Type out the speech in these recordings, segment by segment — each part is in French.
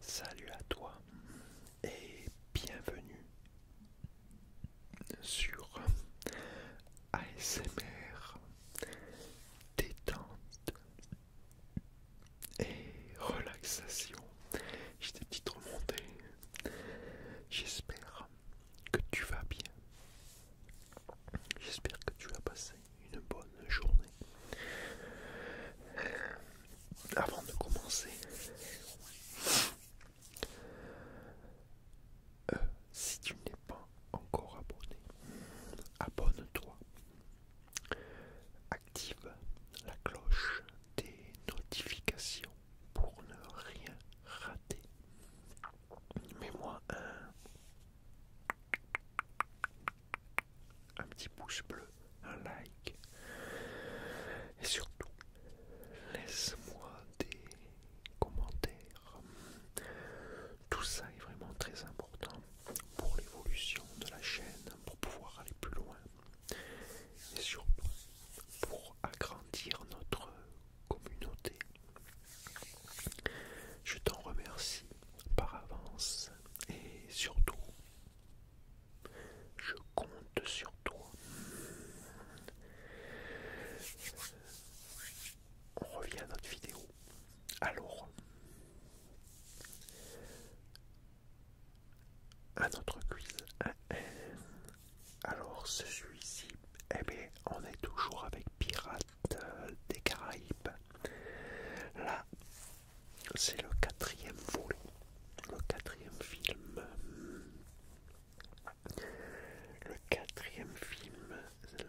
Salut à toi et bienvenue sur ASMR détente et relaxation. J'ai des petites remontées. J'espère que tu vas bien. J'espère que tu as passé une bonne journée. Avant de commencer, euh, si tu n'es pas encore abonné, abonne-toi. Active la cloche des notifications pour ne rien rater. mais moi un un petit pouce bleu, un like. Et surtout, laisse-moi des commentaires. Tout ça est vraiment très important pour l'évolution de la chaîne, pour pouvoir aller plus loin. Et surtout, pour agrandir notre communauté. Je t'en remercie par avance et surtout, je compte sur toi. On revient à notre vidéo. Alors, à notre quiz. Alors, ce celui-ci, eh bien, on est toujours avec Pirate euh, des Caraïbes. Là, c'est le quatrième volet, le quatrième film. Le quatrième film,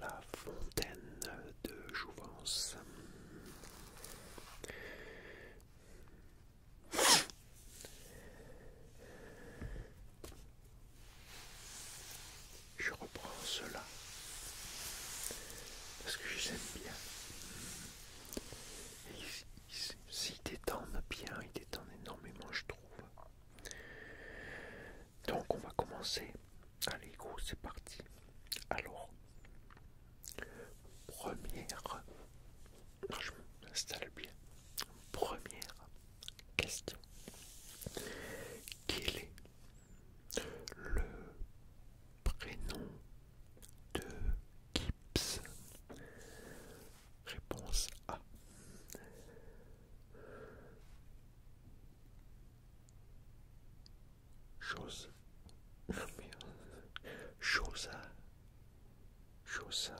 La Fontaine de Jouvence. Je reprends cela parce que je les aime bien. Et ils, détendent bien, ils détendent énormément, je trouve. Donc on va commencer. Allez go, c'est parti. Alors, première, je m'installe bien. Première question. quelle est le prénom de Gips. Réponse A. Chose. chose Chosa.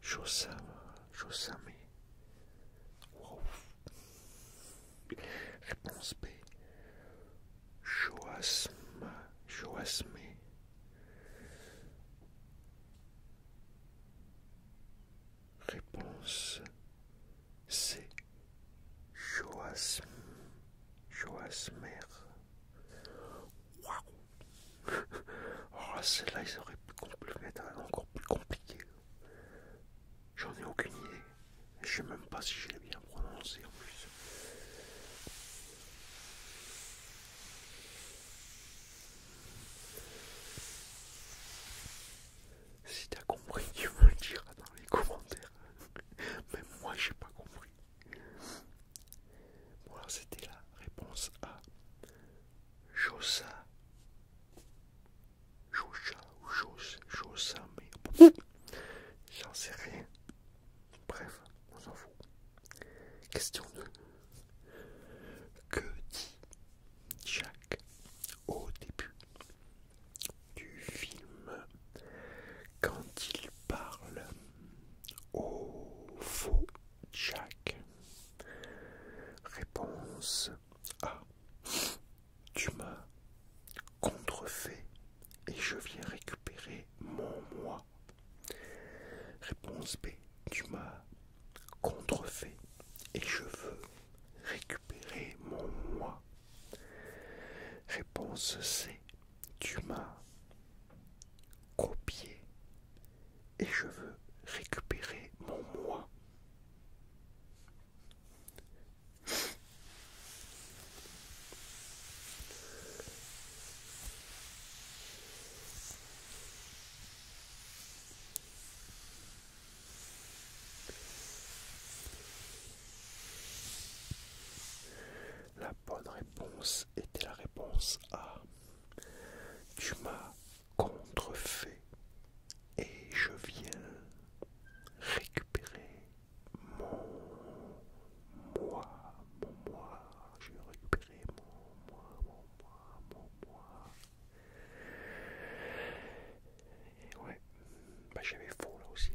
chose Chosa, mais. Euh, Réponse B. Joasma, Joasmé. Réponse C. Joasm, Joasmer. Waouh! Oh, celle-là, ils auraient pu mettre encore plus compliqué. J'en ai aucune idée. Je sais même pas si je l'ai bien prononcé en plus. Si t'as compris, tu me le diras dans les commentaires. Même moi, j'ai pas compris. Voilà, c'était la réponse A. Jossa Josha ou Josa, mais j'en sais rien. Bref, on s'en fout. Question 2. Que dit Jack au début du film quand il parle au faux Jack Réponse a. Ah. tu m'as contrefait et je viens récupérer mon moi. Réponse B Tu m'as contrefait et je veux récupérer mon moi. Réponse C Tu m'as copié et je veux récupérer mon moi. La bonne réponse était la réponse A. Tu m'as contrefait et je viens récupérer mon moi, mon moi, je vais récupérer mon moi, mon moi, mon moi. Et ouais, bah, j'avais faux là aussi.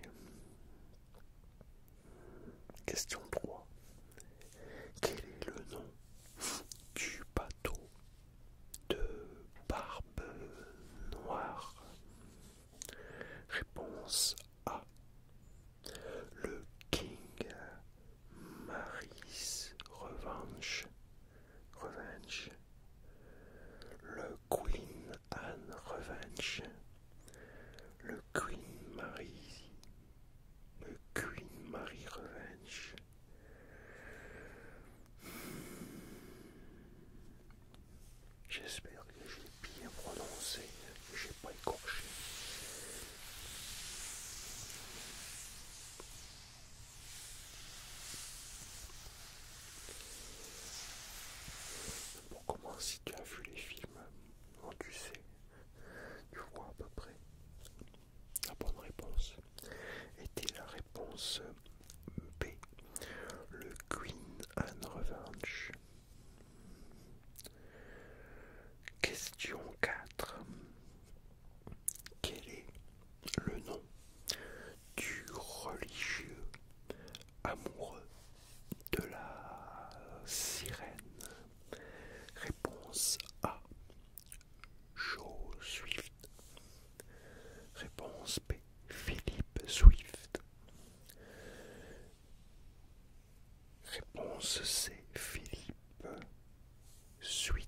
Question 3. Quel est le nom du bateau de barbe noire Réponse A. Le King Maris Revenge. Revenge. Le Queen Anne Revenge. Le Queen Marie. Le Queen Marie Revenge. J'espère que j'ai bien prononcé, que j'ai pas écorché. Pour commencer, tu as vu les films, hein, tu sais, tu vois à peu près. La bonne réponse était la réponse B, le Queen and Revenge. Question 4. Quel est le nom du religieux amoureux de la sirène Réponse A. Joe Swift. Réponse B. Philippe Swift. Réponse C. Philippe swift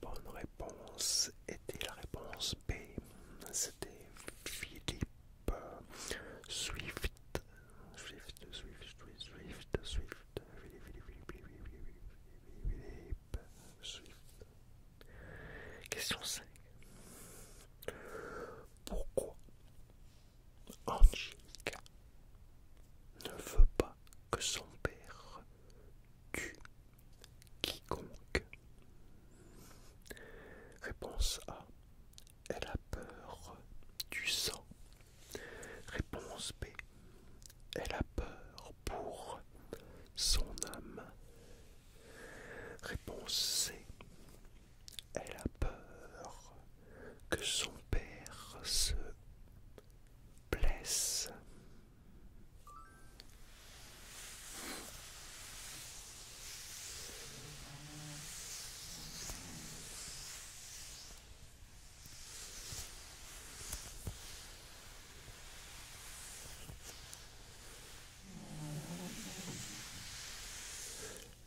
bonne réponse était la réponse B. C'était Philippe Swift. Swift, Swift, Swift, Swift, Swift, Philippe Swift. Question 5. Pourquoi ne veut pas que son père tu, quiconque Réponse A. Elle a peur du sang. Réponse B. Elle a peur pour son âme. Réponse C. Elle a peur que son père se blesse.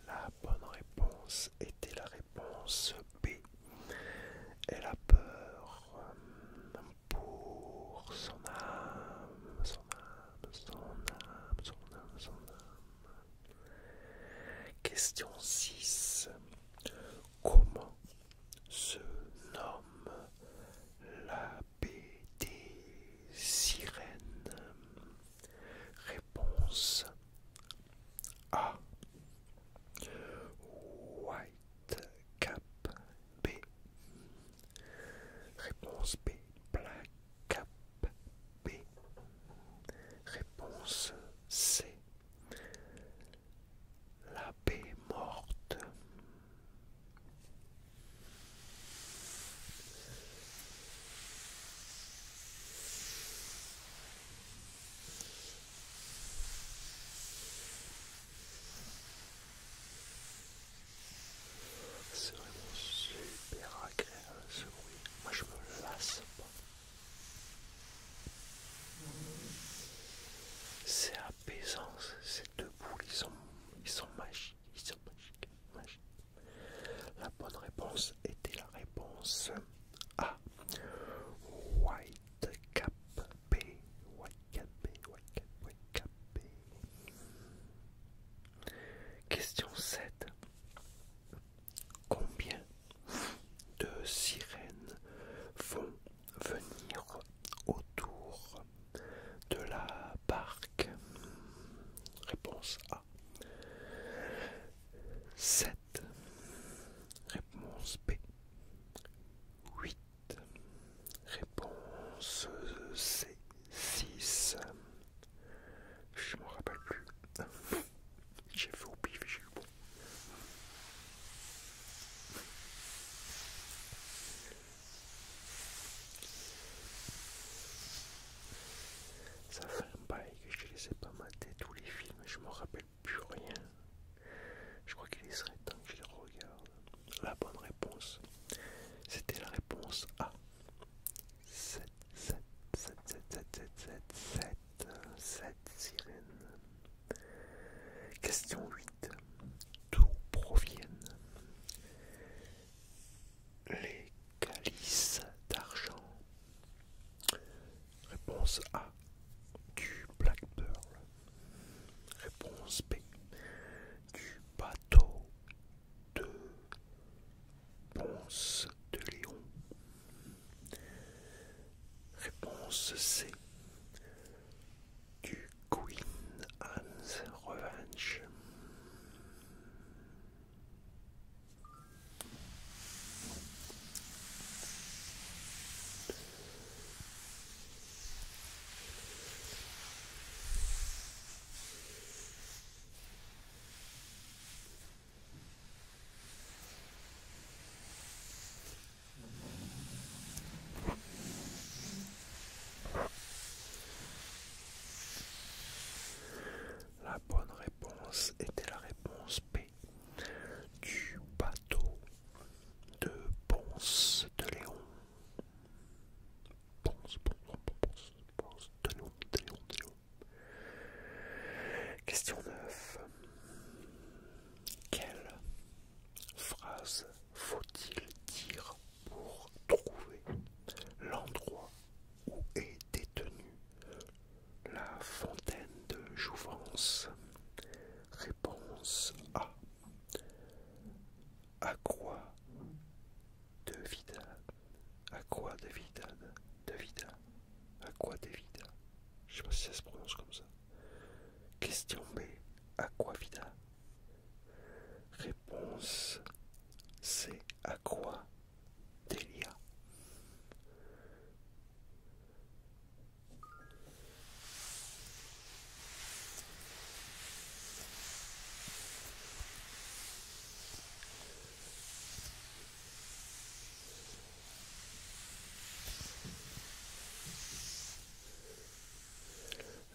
La bonne réponse était la réponse B. Elle a peur pour son âme, son âme, son âme, son âme, son âme. Question 6. Comment se nomme la BD sirène Réponse A. White cap B. Réponse B. cap B. Réponse C. La B morte. C'est vraiment super agréable ce bruit. Moi je me lasse pas. C'est apaisant, ces deux boules, ils sont, ils sont magiques, ils sont magiques. La bonne réponse était la réponse A. White Cap Question 7. Combien de sirènes vont venir autour de la barque Réponse A. 7. Réponse B. 8. Réponse C 6. Je m'en rappelle plus. J'ai fait au pif, j'ai eu bon. Ça fait un bail que je les ai pas mater tous les films, je me rappelle plus rien. Je crois qu'il serait temps que je regarde. La bonne réponse, c'était la réponse A. 7, 7, 7, 7, 7, 7, 7, 7, 7 sirène. Question 8. D'où proviennent les calices d'argent Réponse A, du Black Pearl. Réponse B, du bateau de Ponce de Léon. Réponse C, du Queen Anne's Revenge. La bonne réponse était la réponse P du bateau de Ponce de Léon. Ponce, Ponce, Ponce, Ponce de Léon, de Léon, de Léon. Question 9. Quelle phrase faut-il dire pour trouver l'endroit où est détenu la fontaine de Jouvence. Réponse A. À quoi de vida À quoi de À quoi de Je sais pas si ça se prononce comme ça. Question B. À quoi Vida Réponse C. À quoi Delia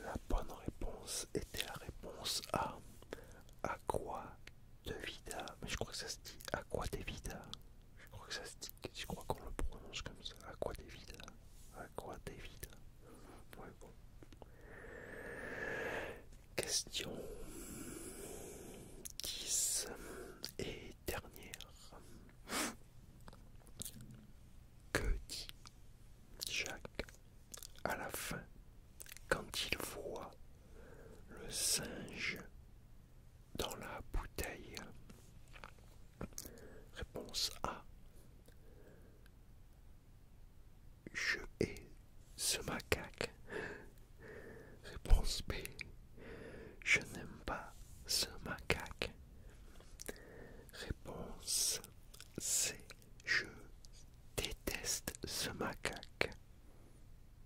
la bonne réponse était la réponse A. À quoi de vida Mais je crois que ça se dit à quoi de je crois que ça se je crois qu'on le prononce comme ça. quoi, David. quoi David. Ouais, Question 10 et dernière. Que dit Jacques à la fin quand il voit le singe dans la bouteille Réponse A. Je hais ce macaque. Réponse B. Je n'aime pas ce macaque. Réponse C. Je déteste ce macaque.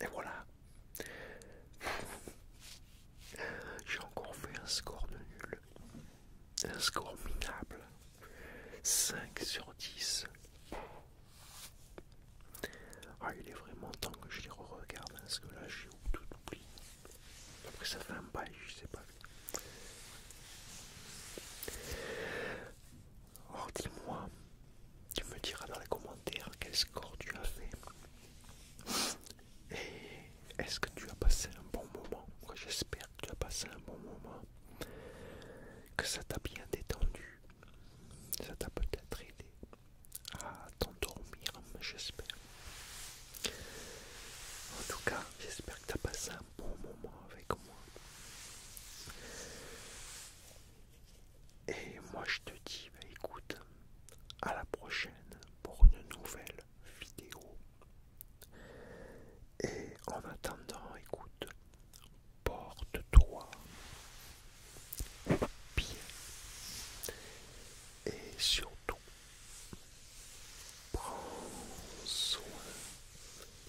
Et voilà. J'ai encore fait un score de nul. Un score minable. 5 sur 10. Ah, il est vraiment temps que je les re-regarde hein, parce que là j'ai tout oublié. Après ça fait un bail, je sais pas. Oh, dis-moi, tu me diras dans les commentaires quel score tu as fait. Et est-ce que tu as passé un bon moment j'espère que tu as passé un bon moment. Que ça t'a bien détendu. Ça t'a peut-être aidé à t'endormir, j'espère. En tout cas, j'espère que tu as passé un bon moment avec moi. Et moi je te dis, bah, écoute, à la prochaine pour une nouvelle vidéo. Et en attendant, écoute, porte-toi bien. Et surtout, prends soin